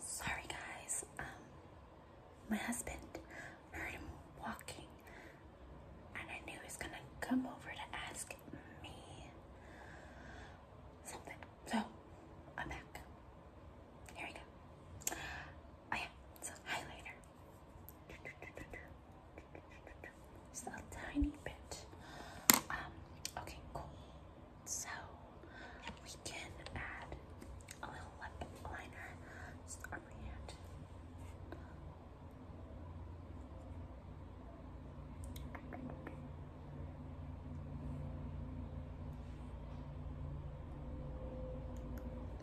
Sorry guys, um, my husband heard him walking and I knew he gonna come over to ask me something. So, I'm back. Here we go. Oh yeah, it's highlighter. Just a tiny bit. Um, okay, cool. So we can add a little lip liner on my hand.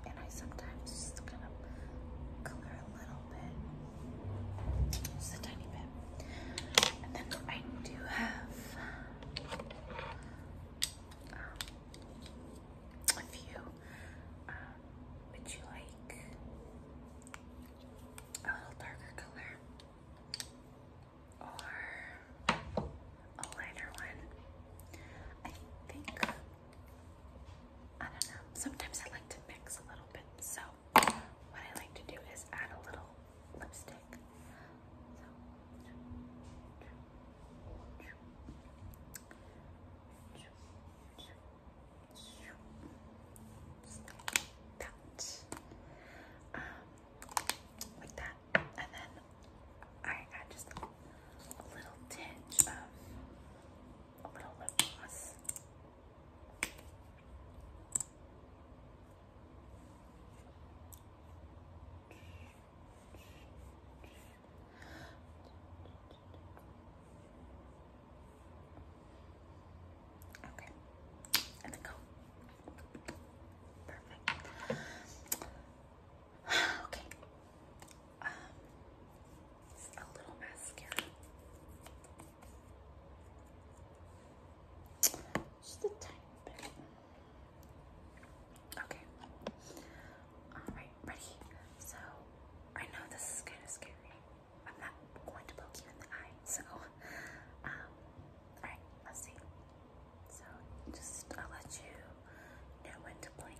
And I sometimes just kind of color a little bit just a tiny bit. And then I do have um, a few. Um, would you like a little darker color? Or a lighter one. I think, I don't know, sometimes I like to mix a little bit, so what I like to do is add a little lipstick. That. like that. And then I add just a little tinge of a little lip gloss. Okay, and then go. Perfect. Okay, um, a little mascara. Just a tiny bit. Okay. Alright, ready? So, I know this is kind of scary. I'm not going to poke you in the eye, so, um, alright, let's see. So, just, I'll let you know when to blink.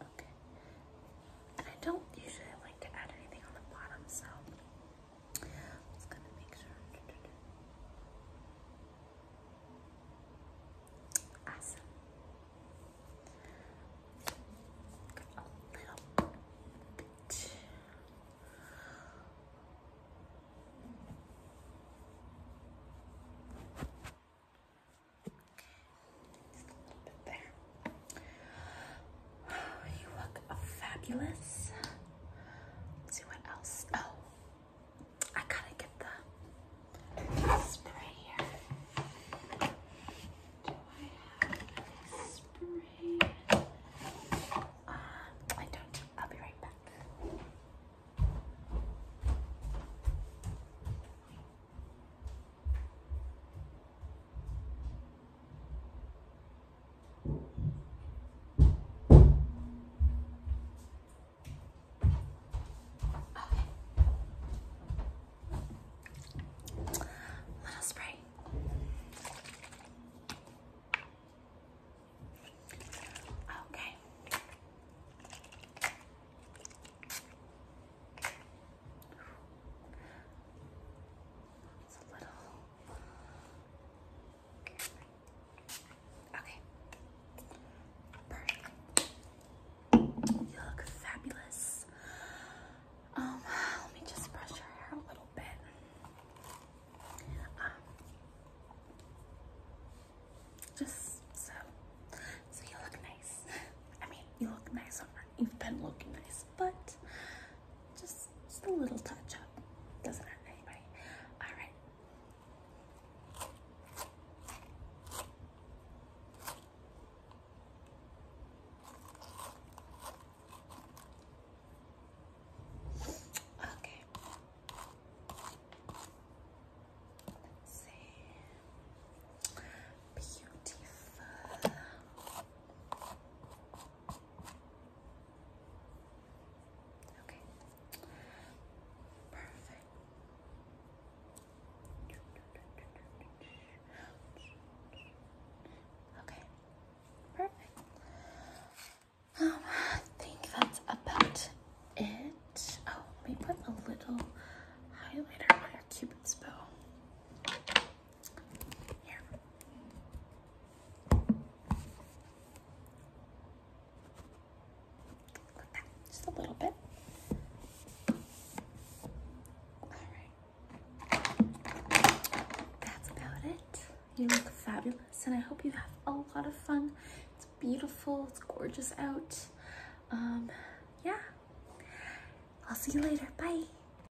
Okay. I don't usually like to add anything on the bottom, so I'm just gonna make sure. Awesome. A little bit. there. Oh, you look fabulous. see what else. Oh, I gotta get the spray here. Do I have spray? Uh, I don't. I'll be right back. Okay. Little spray. Okay. It's a little. Okay. Perfect. You look fabulous. Um, let me just brush your hair a little bit. Um, just so, so you look nice. I mean, you look nice already. You've been looking nice, but just, just a little touch up. Doesn't hurt anybody. All right, Okay. Let's see. Beautiful. Okay. Perfect. Okay. Perfect. Um, I think that's about it. Oh, let me put a little highlighter on your cupid's bow. Yeah. just a little bit. Alright. That's about it. You look fabulous, and I hope you have a lot of fun. It's beautiful, it's gorgeous out. Um, yeah. I'll see you later. Bye.